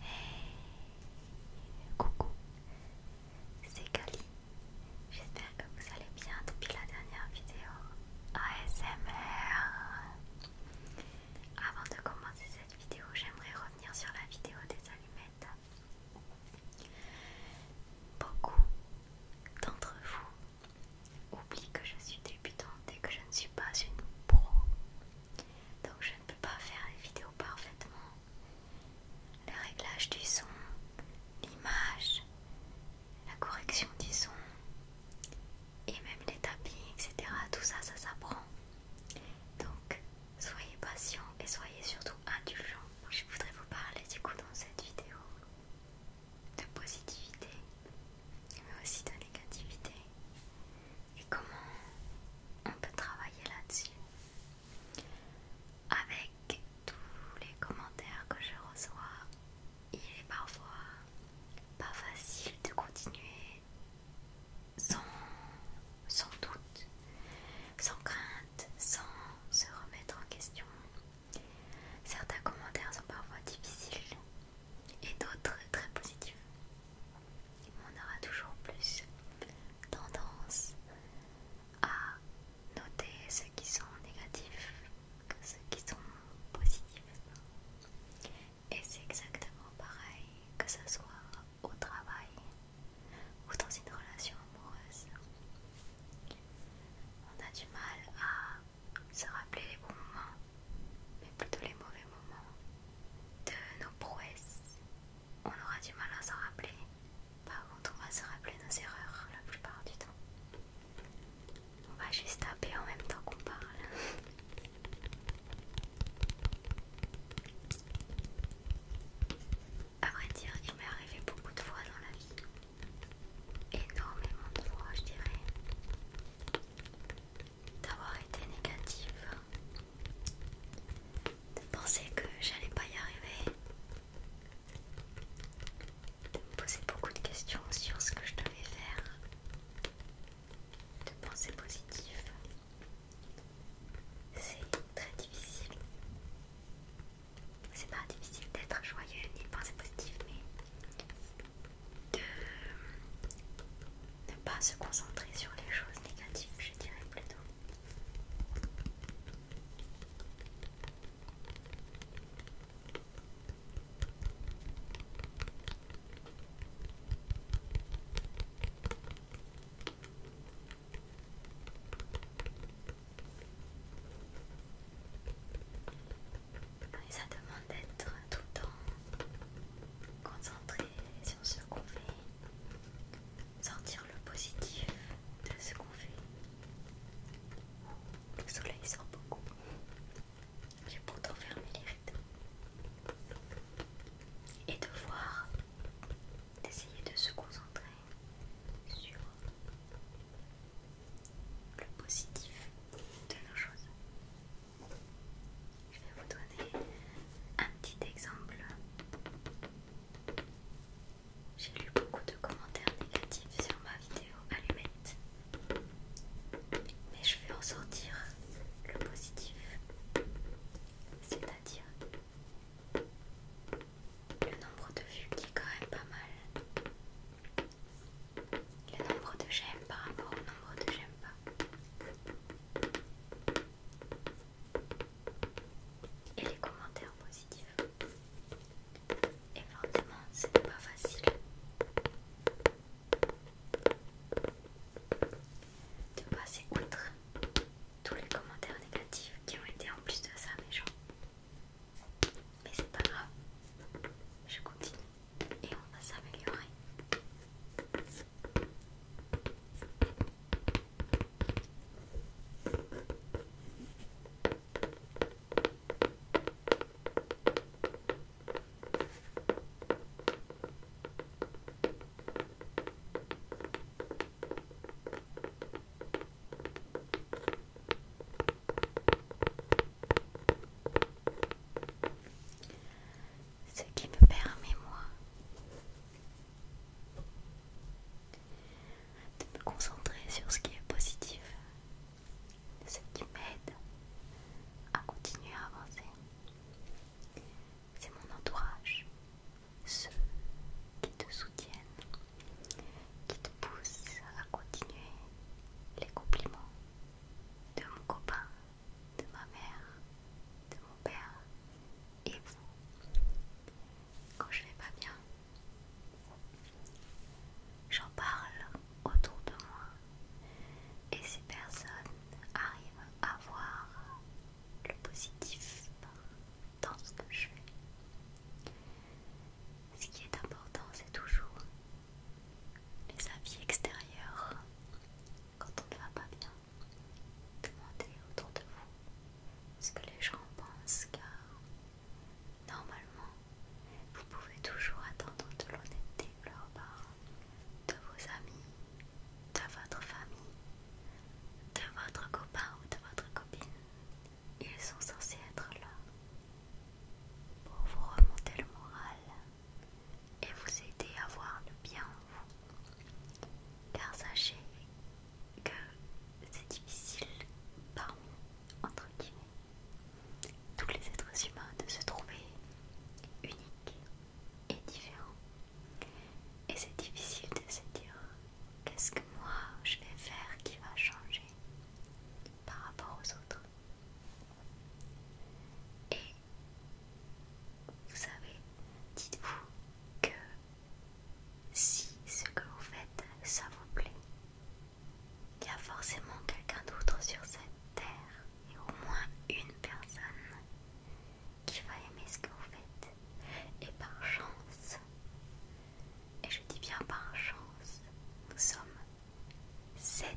Hey, coucou, c'est Kali. J'espère que vous allez bien depuis la dernière vidéo ASMR. Avant de commencer cette vidéo, j'aimerais revenir sur la vidéo des allumettes. Beaucoup d'entre vous oublient que je suis débutante et que je ne suis pas une pro donc je ne peux pas faire les vidéos parfaitement. Le réglage du son, l'image, la correction du son et même les tapis, etc. Tout ça, ça s'apprend. Donc soyez patient et soyez surtout indulgent. Je voudrais vous parler du coup dans cette vidéo de positivité mais aussi de négativité et comment on peut travailler là-dessus. Avec tous les commentaires que je reçois, il est parfois pas facile de continuer sans, sans doute, sans crainte, sans se remettre en question. Certains commentaires sont parfois difficiles et d'autres très positifs on aura toujours plus tendance à noter ceux qui sont négatifs que ceux qui sont positifs. Et c'est exactement pareil que ce soit au travail ou dans une relation amoureuse. On a du mal à se rappeler les bons moments mais plutôt les mauvais moments, de nos prouesses. On aura du mal à s'en rappeler. Par contre, on va se rappeler nos erreurs la plupart du temps. On va juste taper en même temps qu'on parle. À vrai dire, il m'est arrivé beaucoup de fois dans la vie. Énormément de fois, je dirais d'avoir été négative, de penser que j'allais pas y arriver, de me poser beaucoup de questions sur ce que je devais faire, de penser positif. C'est très difficile. C'est pas difficile d'être joyeux ni de penser positif, mais de ne pas se concentrer sur les choses négatives, je dirais plutôt. Et ça demande d'être tout le temps concentré sur ce qu'on fait, sortir le positif de ce qu'on fait. Le soleil sort beaucoup. J'ai pourtant fermé les rideaux. Et de voir, d'essayer de se concentrer sur le positif de nos choses. Je vais vous donner un petit exemple. J'ai lu beaucoup de commentaires négatifs sur ma vidéo allumette, mais je vais ressortir le positif, c'est-à-dire le nombre de vues qui est quand même pas mal, le nombre de j'aime par rapport au nombre de j'aime pas et les commentaires positifs. Et forcément, c'était pas facile de passer outre tous les commentaires négatifs qui ont été en plus de ça mes gens Mais c'est pas grave, je continue et on va s'améliorer ce qui me permet moi de me concentrer sur ce qui est positif, ce qui m'aide à continuer à avancer. C'est mon entourage, ceux qui te soutiennent, qui te poussent à continuer les compliments de mon copain, de ma mère, de mon père et vous. Quand je vais pas bien, j'en parle autour de moi et ces personnes arrivent à voir le positif dans ce que je fais. Ce qui est important, c'est toujours les avis extérieurs quand on ne va pas bien. Demandez autour de vous ce que les gens pensent car normalement vous pouvez toujours attendre de l'honnêteté de leurs parents, de vos amis, de votre famille, de votre copain ou de votre copine. Ils sont censés être là pour vous remonter le moral et vous aider à voir le bien en vous. Car sachez que c'est difficile parmi, entre guillemets, tous les êtres humains de se trouver unique et différents. Et c'est difficile de se dire qu'est-ce que moi je vais faire qui va changer par rapport aux autres. Et vous savez, dites-vous que si ce que vous faites, ça vous plaît, il y a forcément quelqu'un d'autre sur cette terre, et au moins une personne qui va aimer ce que vous faites. Et par chance, et je dis bien par chance, nous sommes sept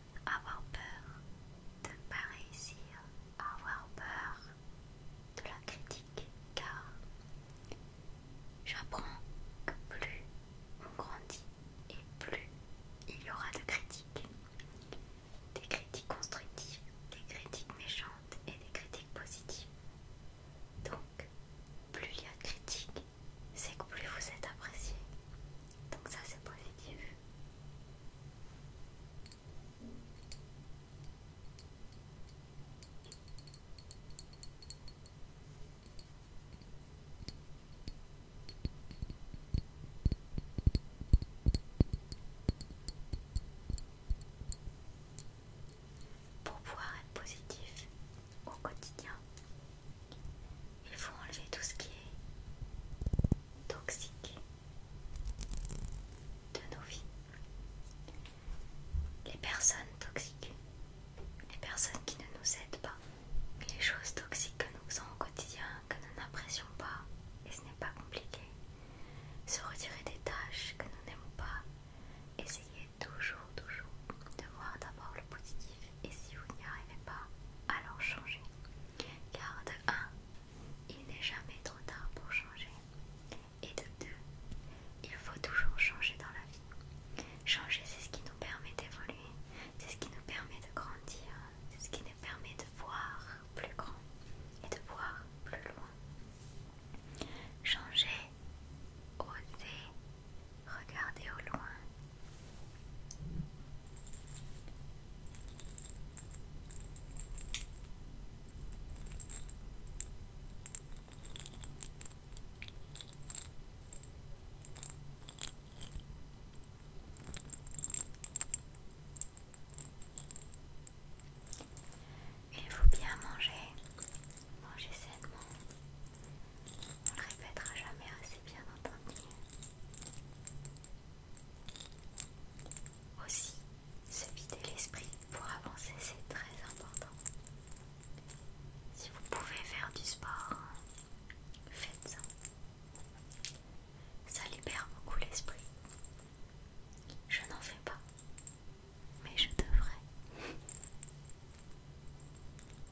avoir peur de ne pas réussir, avoir peur de la critique, car j'apprends que plus on grandit et plus il y aura de critiques. Des critiques constructives, des critiques méchantes et des critiques positives. Donc, plus il y a de critiques, c'est que plus vous êtes apprécié. Donc ça c'est positif. Pour pouvoir être positif au quotidien, il faut enlever tout ce qui est toxique de nos vies. Les personnes toxiques, les personnes qui ne nous aident pas, les choses toxiques que nous faisons au quotidien, que nous n'apprécions pas, et ce n'est pas compliqué. Se retirer des tâches que nous n'aimons pas, essayer toujours, toujours de voir d'abord le positif et si vous n'y arrivez pas, alors changez. Car de 1, il n'est jamais trop tard pour changer. Et de 2, il faut toujours changer dans la vie. Changer, c'est ce qui nous permet d'évoluer, c'est ce qui nous permet de grandir, c'est ce qui nous permet de voir plus grand et de voir plus loin. Changer, oser, regarder au loin, il faut bien manger, manger sainement. On le répétera jamais assez bien entendu. Aussi, se vider l'esprit pour avancer, c'est très important. Si vous pouvez faire du sport, faites-en. Ça libère beaucoup l'esprit. Je n'en fais pas, mais je devrais.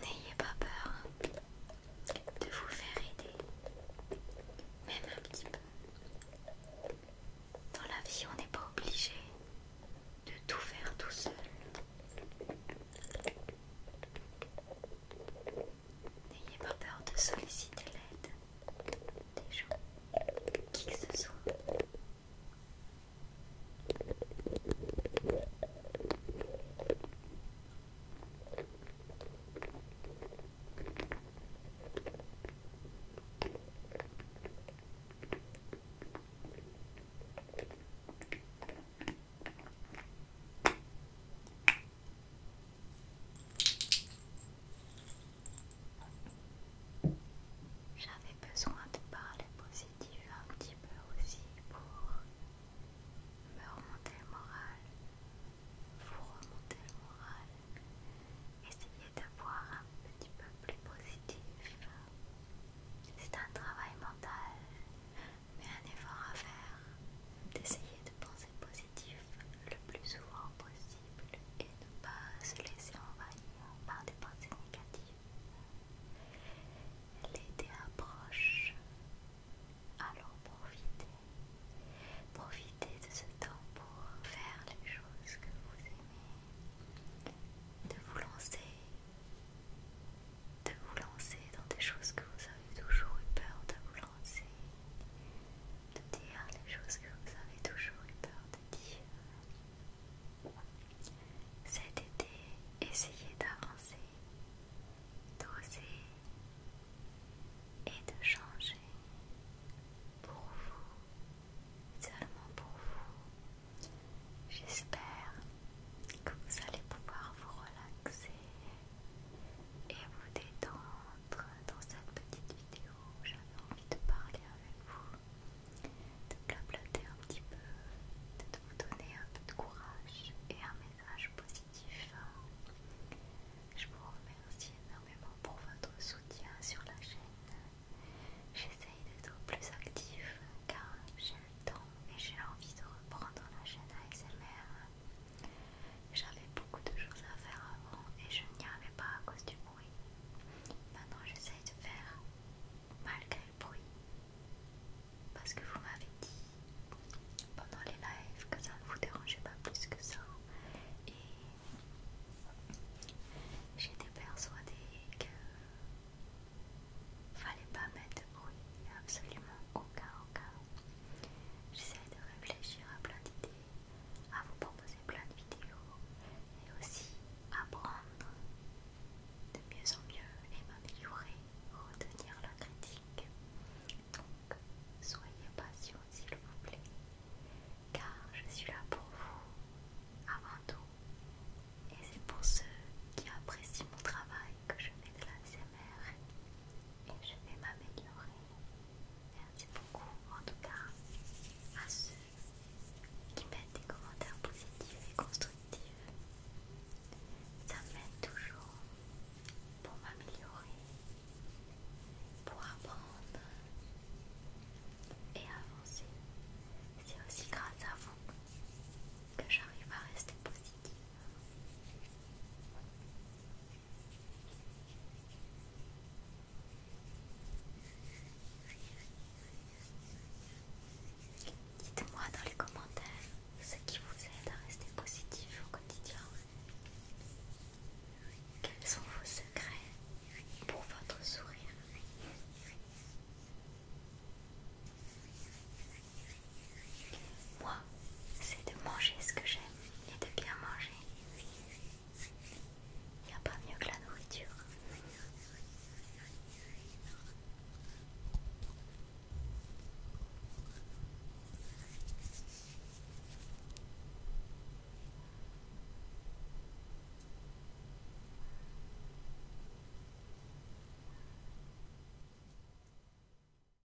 N'ayez pas peur de vous faire aider, même un petit peu. Dans la vie, on n'est pas obligé de tout faire tout seul. N'ayez pas peur de solliciter l'aide des gens, qui se ce j'avais besoin de parler positif un petit peu aussi pour me remonter le moral, vous remonter le moral, essayer de voir un petit peu plus positif. C'est un travail mental, mais un effort à faire d'essayer de penser positif le plus souvent possible et ne pas se laisser envahir par des pensées négatives. L'été approche, alors profitez. Profitez de ce temps pour faire les choses que vous aimez, de vous lancer, de vous lancer dans des choses que vous avez toujours eu peur de vous lancer de dire les choses que vous avez toujours eu peur de dire. Cet été, essayez d'avancer, d'oser et de changer pour vous, seulement pour vous. J'espère que vous allez pouvoir vous relaxer et vous détendre dans cette petite vidéo. J'avais envie de parler avec vous, de blablater un petit peu, de vous donner un peu de courage et un message positif. Je vous remercie énormément pour votre soutien sur la chaîne. J'essaye d'être plus active car j'ai le temps et j'ai envie de reprendre la chaîne ASMR j'avais beaucoup de choses à faire avant et je n'y arrivais pas à cause du bruit. Maintenant j'essaie de faire malgré le bruit. Parce que vous m'avez dit pendant les lives que ça ne vous dérangeait pas plus que ça. Et j'étais persuadée que fallait pas mettre de bruit, absolument au cas, J'essaie de réfléchir à plein d'idées, à vous proposer plein de vidéos et aussi apprendre de mieux en mieux et m'améliorer, retenir la critique. Donc, soyez patient s'il vous plaît, car je suis là pour vous avant tout. Et c'est pour ceux qui apprécient mon travail que je mets de la je vais m'améliorer. Merci beaucoup en tout cas à ceux qui mettent des commentaires positifs et constructifs. Ça m'aide toujours pour m'améliorer, pour apprendre et avancer. C'est aussi grâce à vous que j'arrive à rester positive. Dites-moi dans les commentaires ce qui vous aide à rester positif au quotidien. Quels sont vos secrets pour votre sourire moi, c'est de manger ce que j'aime et de bien manger. Il n'y a pas mieux que la nourriture.